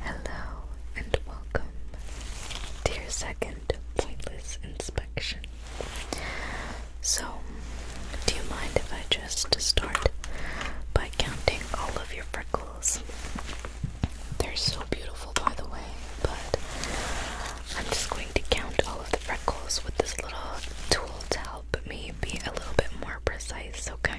Hello and welcome to second pointless inspection. So, do you mind if I just start by counting all of your freckles? They're so beautiful, by the way, but I'm just going to count all of the freckles with this little tool to help me be a little bit more precise, okay?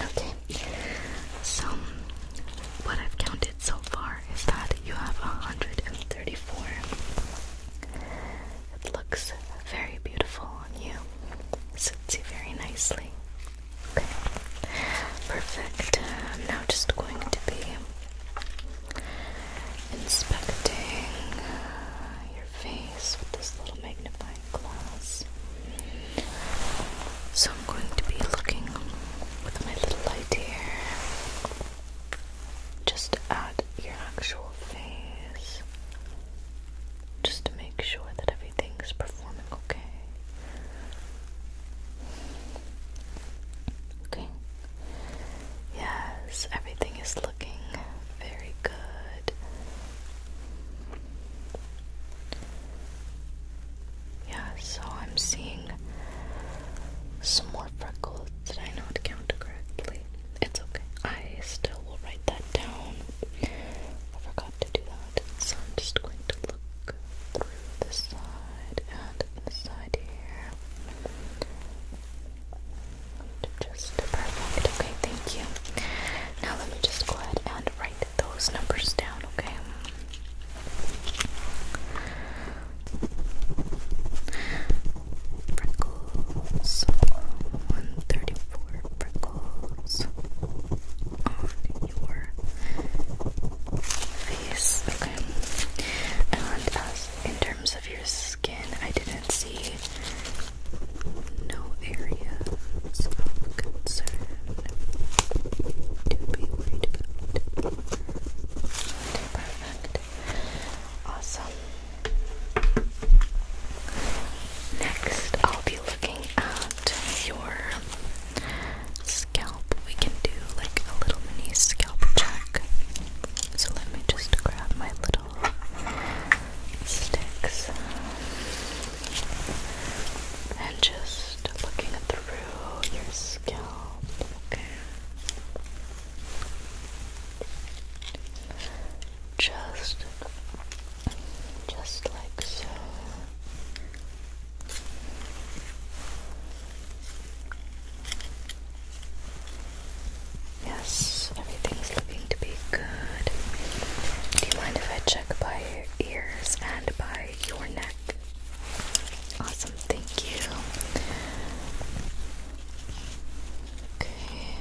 Okay, so what I've counted so far is that you have 134. It looks very beautiful on you, sits very nicely. Okay, perfect. I'm um, now just going to be inspecting your face with this little magnifying glass. So I'm going to be looking with my little light here just at your actual face just to make sure that everything is performing okay. Okay. Yes, everything is looking very good. Yeah, so I'm seeing some more freckles. that I not count correctly? It's okay. I still will write that down. I forgot to do that. So I'm just going to look through this. Uh, and this side here. Just perfect. Okay, thank you. Now let me just go ahead and write those numbers down, okay? Freckles 134 freckles on your face, okay? And as in terms of your skin, I didn't see no areas of concern to be worried about. perfect. Awesome. Next, I'll be looking at your scalp we can do like a little mini scalp check. So let me just grab my little sticks and just looking through your scalp. Okay. Just, just like so. Yes, everything's looking to be good. Do you mind if I check by ears and by your neck? Awesome, thank you. Okay,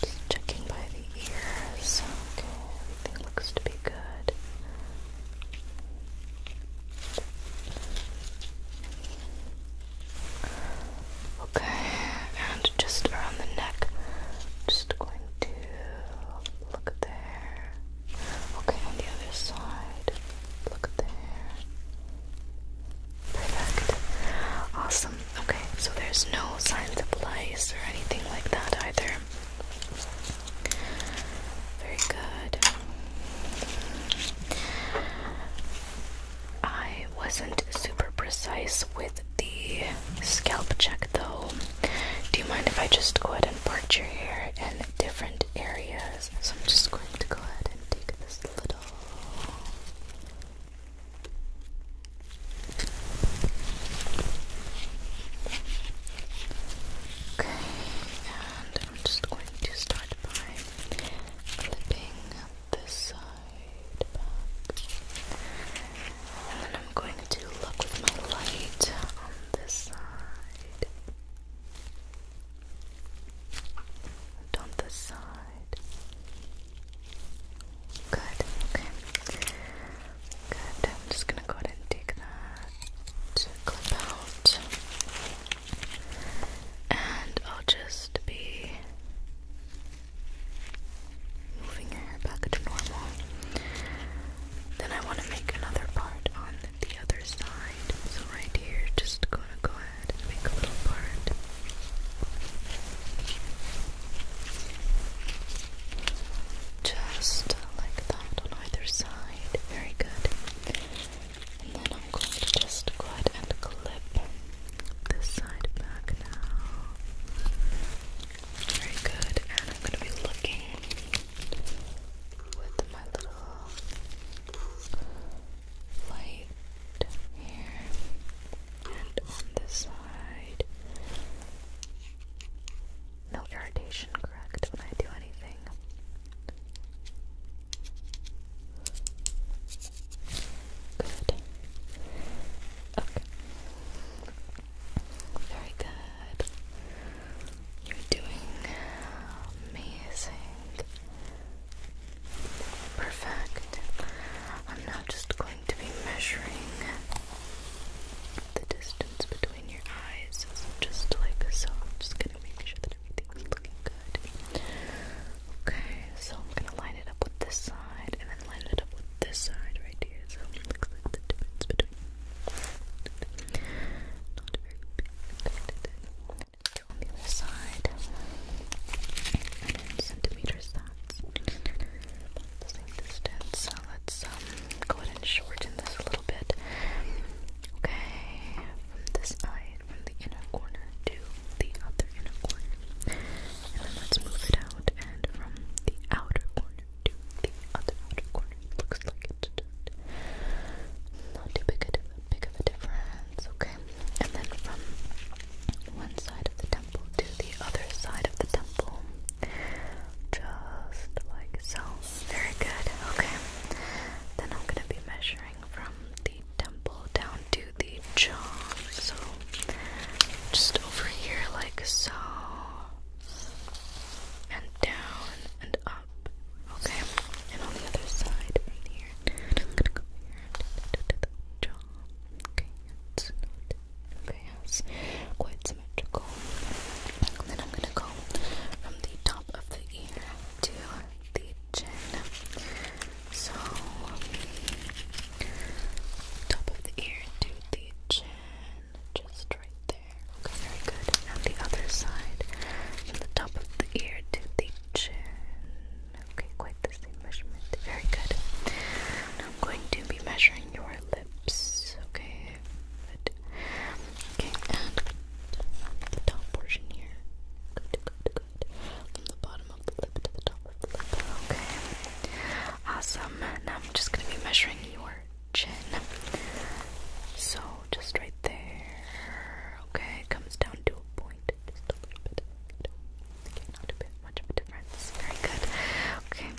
just checking by the ears. Okay, everything looks to be good. Okay, and just around the neck, just going to look there. Okay, on the other side, look there. Perfect. Awesome. Okay, so there's no signs of lice or anything like that either. Very good. I wasn't super precise with the scalp check though. Do you mind if I just go ahead and part your hair in different areas? So I'm just going to go ahead and take this little. Okay, I'm just going to start by clipping this side And then I'm going to look with my light on this side. And this side. Good, Good. I'm just gonna go ahead and take that clip out, and I'll just be moving your hair back to normal. Then I want to make another part on the other side, so right here, just gonna go ahead and make a little part. Just like that on either side. Very good. And then I'm going to just go ahead and clip this side back now. Very good. And I'm going to be looking with my little light here and on this side. No irritation, correct? When I do anything. Good. Okay. Very good. You're doing amazing. Perfect. I'm not just going to be measuring the distance between your eyes. So just like so. I'm just gonna make sure that Everything's looking good. Okay, so I'm gonna line it up with this side and then line it up with this side right here. So it looks like the difference between the other side. centimeters that's the same distance. So let's um, go ahead and shorten this a little bit. Okay, this eye from the inner corner to the other inner corner. And then let's move it out and from the outer corner to the other outer corner. looks like it's not too big, a, big of a difference, okay? And then from one side of the temple to the other side of the temple. Just like so. Very good. Okay. Then I'm gonna be measuring from the temple down to the jaw. So just over here, like so, and down and up. Okay, and on the other side, here. I'm gonna go here and the jaw. Okay, it's not quite symmetrical. And then I'm gonna go from the top of the ear to the chin. So top of the ear to the chin. Just right there. Okay, very good. Now the other side. From the top of the ear to the chin. Okay, quite the same measurement. Very good. I'm going to be measuring your lips. Okay. Good. Okay, and the top portion here. Good, good, good. From the bottom of the lip to the top of the lip. Okay. Awesome. Now I'm just gonna be measuring your chin. So just right there. Okay, it comes down to a point. Just a little bit. Okay, not a bit much of a difference. Very good. Okay.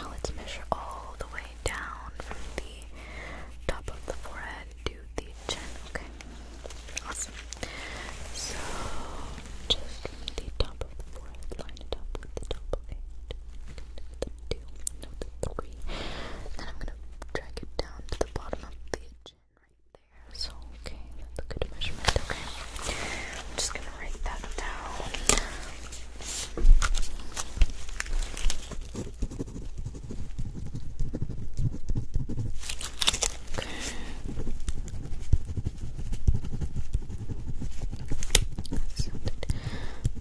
Now let's measure all the way down from the top of the forehead to the chin. Okay, awesome. So just the top of the forehead, line up with the top of eight, the two, no, the three. Then I'm gonna drag it down to the bottom of the chin right there. So okay, that's a good measurement. Okay, I'm just gonna write that down.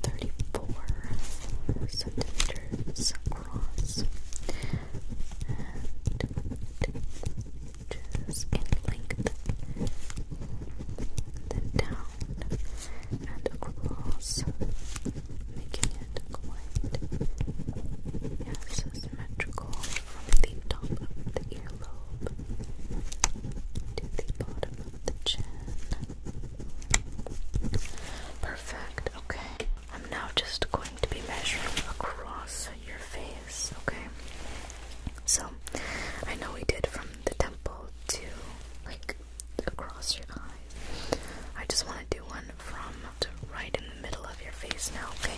Thirty-four centimeters across inches in length. Then down and across making it quite yes, symmetrical from the top of the earlobe to the bottom of the chin. Perfect, okay. I'm now just going to be measuring across your face, okay? So, I know we did from the temple to like across your eyes. I just want to do one from right in the middle of your face now, okay?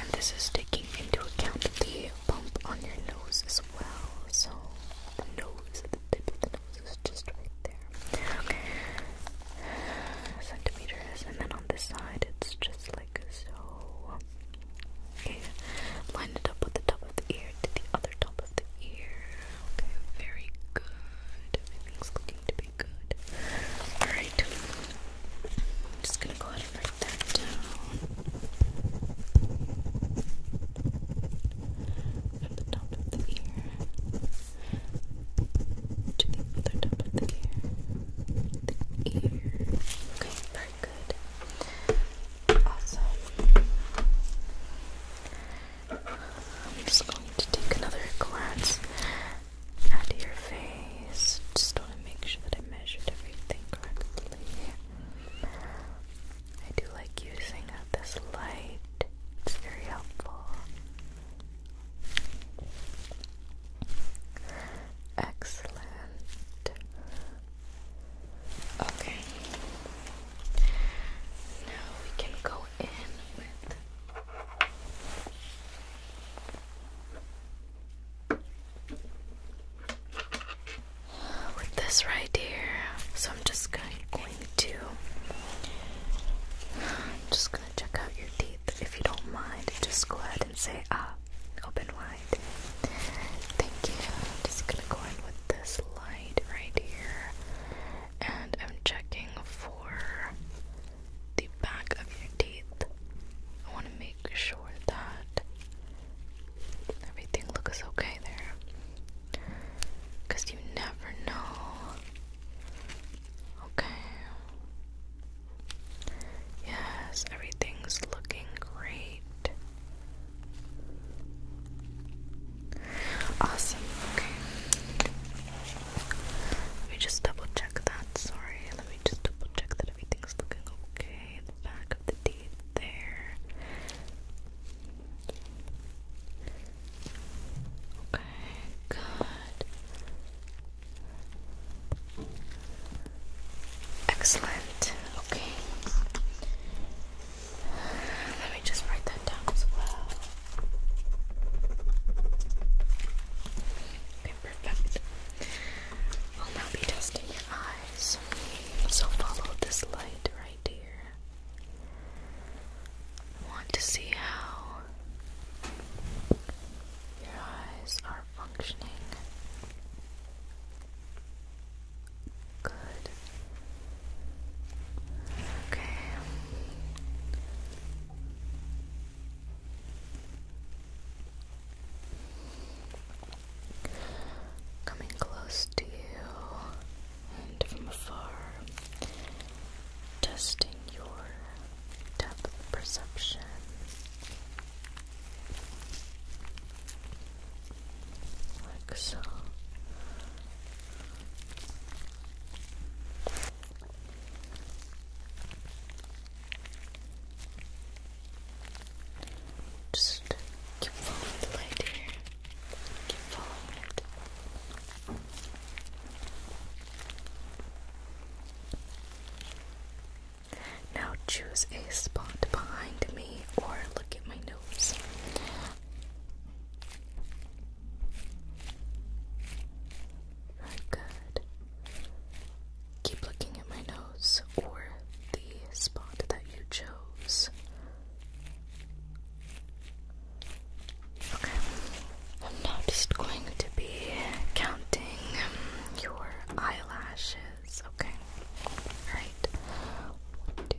And this is taking into account the bump on your nose as well. So the nose, the tip of the nose is just right there. Okay. Centimeters, and then on this side it's just like so. Okay. Line it up with the top of the ear to the other top of the ear. Okay, very good. Everything's looking to be good. Alright. I'm just gonna go ahead and write that down. From the top of the ear to the other top of the ear. The ear. Okay, very good. Awesome. I'm just going to take another glance at your face. Just want to make sure that I measured everything correctly. I do like using uh, this light, it's very helpful. Excellent. Okay. Now we can go with. this right here, so I'm just going, going to, just gonna check out your teeth. If you don't mind, just go ahead and say ah, open wide. Thank you. just gonna go in with this light right here, and I'm checking for the back of your teeth. I want to make sure that everything looks okay there. Because you never know. Okay. Yes, everything's looking great. Awesome, okay. Let me just double check that. Sorry, let me just double check that everything's looking okay. The back of the teeth there. Okay, good. Excellent. Okay. Let me just write that down as well. Okay, perfect. I'll now be testing your eyes. So follow this light right here. I want to see how your eyes are functioning. Good. Okay. Coming close to you and from afar, testing your depth perception. Like so. Just keep following the light here. Keep following it. Now choose a spot behind me or look at my nose. Very good. Keep looking at my nose or the spot that you chose. Okay. I'm now just going to be counting your eyelashes. Okay. Alright. One, two, three,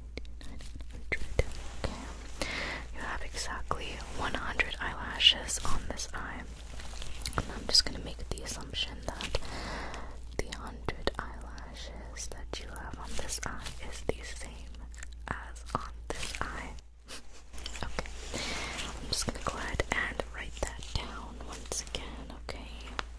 You have exactly 100 eyelashes on this eye. I'm just going to make the assumption that the 100 eyelashes that you have on this eye is the same as on this eye. okay. I'm just going to go ahead and write that down once again, okay?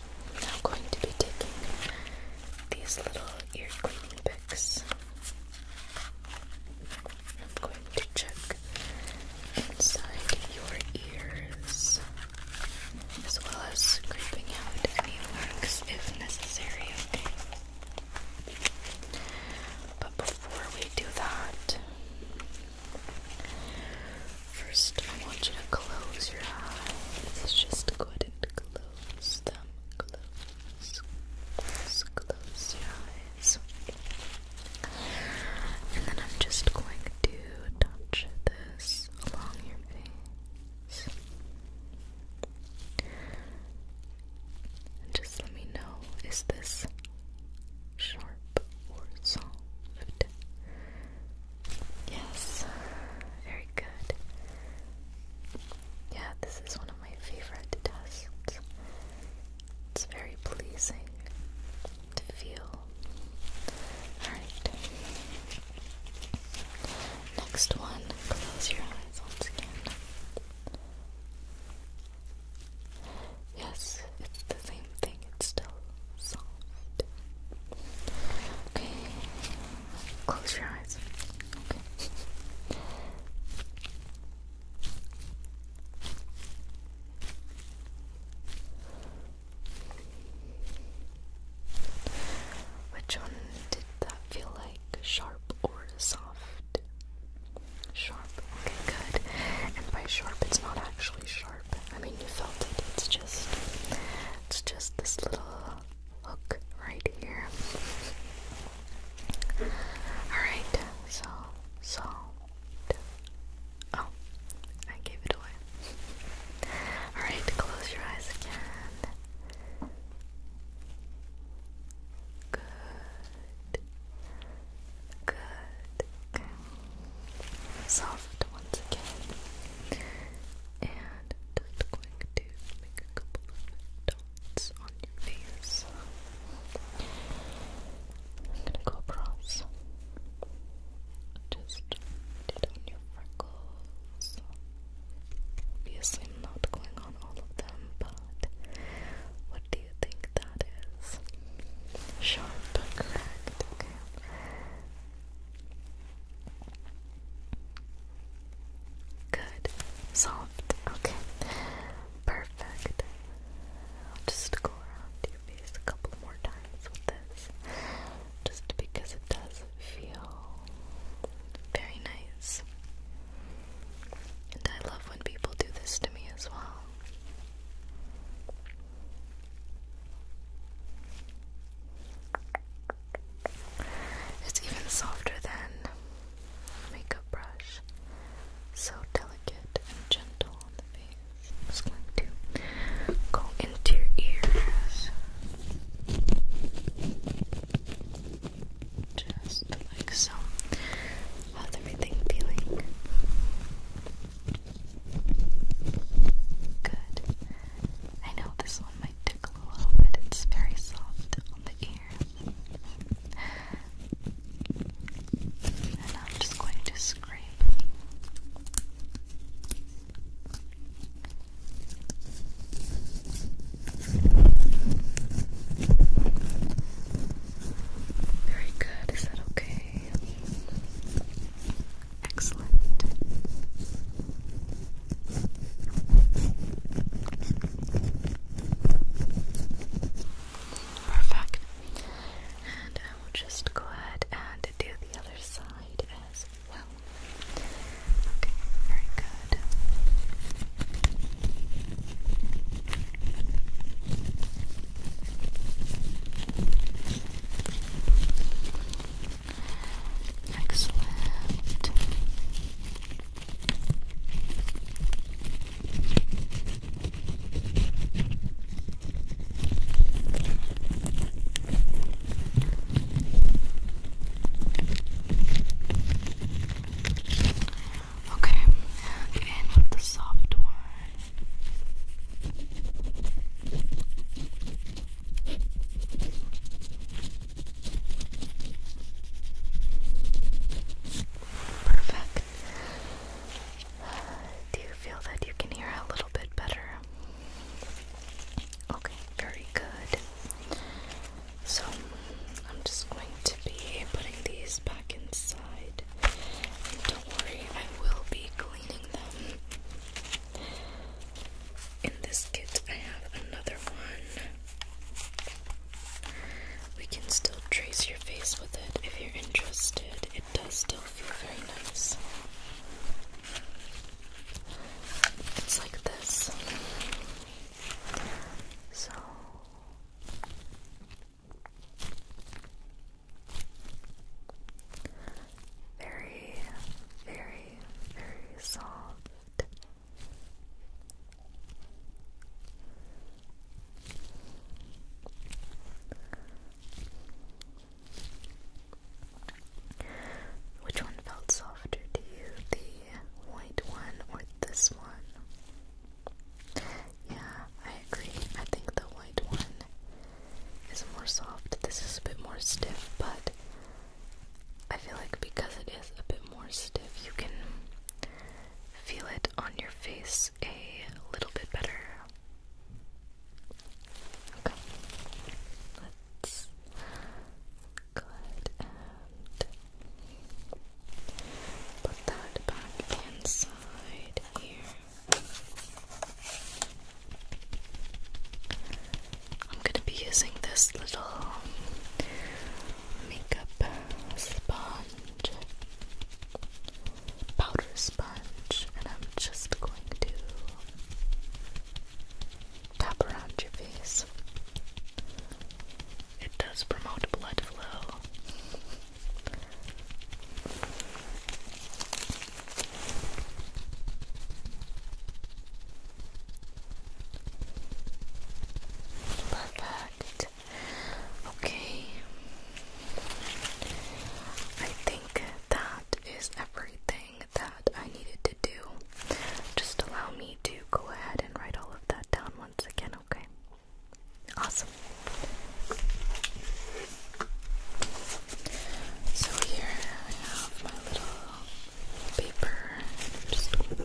I'm now going to be taking these little ear cleaning picks. I'm going to check inside your ears as well as creeping out any marks if necessary, okay? But before we do that, First, I want you to close your eyes. Just go and close them. close, close your eyes. And then I'm just going to touch this along your face. And just let me know is this sharp or soft? Yes, very good. Yeah, this is one of my favorite tests. It's very pleasing to feel. Alright. Next one, close your eyes once again. Yes, it's the same thing, it's still soft. Okay, close your eyes. Okay. Which one did that feel like? Sharp or soft? Sharp. Okay, good. And by sharp, it's not actually sharp sharp. I mean, you felt it. It's just, it's just this little hook right here. All right. So, so. Oh, I gave it away. All right. Close your eyes again. Good. Good. Okay. Soft once again. And just going to make a couple of dots on your face. I'm gonna go across. Just did on your freckles. Obviously, I'm not going on all of them, but what do you think that is? Sharp, correct. Good. Soft. Okay. Perfect. I'll just go around your face a couple more times with this. Just because it does feel very nice. And I love when people do this to me as well. It's even softer than makeup brush. So delicate and gentle on the face. just going to go into your ears. Just like so. How's everything feeling? Good. I know this one might tickle a little bit. It's very soft on the ear. And I'm just going to scrape. Very good. Is that okay? Excellent. Perfect. And I uh, will just go ahead and do the other side as well. Okay, very good. Excellent. Okay, and with the soft one. Perfect. Do you feel that you can hear a little bit better? Okay, very good. So, I'm just going to be putting these back inside. And don't worry, I will be cleaning them. In this kit, I have another one. We can still trace your face with it if you're interested. It does still feel very nice. It's like this. So very, very, very soft. Which one felt softer to you, the white one or this one? Yeah, I agree. I think the white one is more soft. This is a bit more stiff, but I feel like because it is a bit more stiff, you can feel it on your face a little bit better. Okay. Let's go ahead and put that back inside here. I'm going to be using this little makeup sponge, powder sponge, and I'm just going to tap around your face. It does promote blood flow. Perfect. Okay. I think that is everything that I needed to do. Just allow me to go ahead and write all of that down once again, okay? Awesome. So here I have my little paper. I'm just going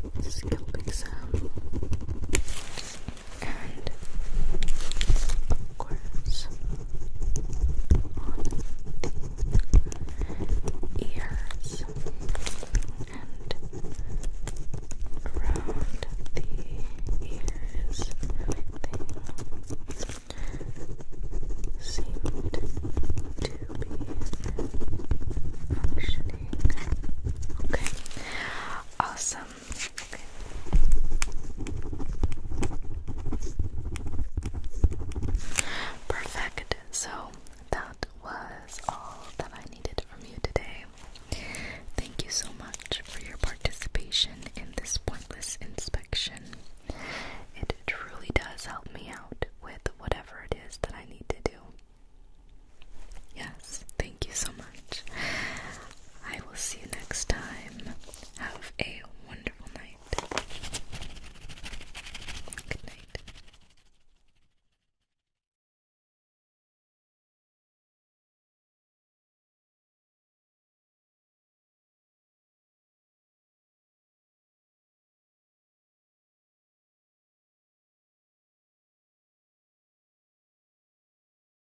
to see the scalping sound and of course on the ears and around the ears everything seemed to be functioning okay awesome Perfect. So that was all that I needed from you today. Thank you so much for your participation in this pointless inspection. It truly does help me out with whatever it is that I need to do. Yes, thank you so much. I will see you next time. Have a wonderful night. Good night.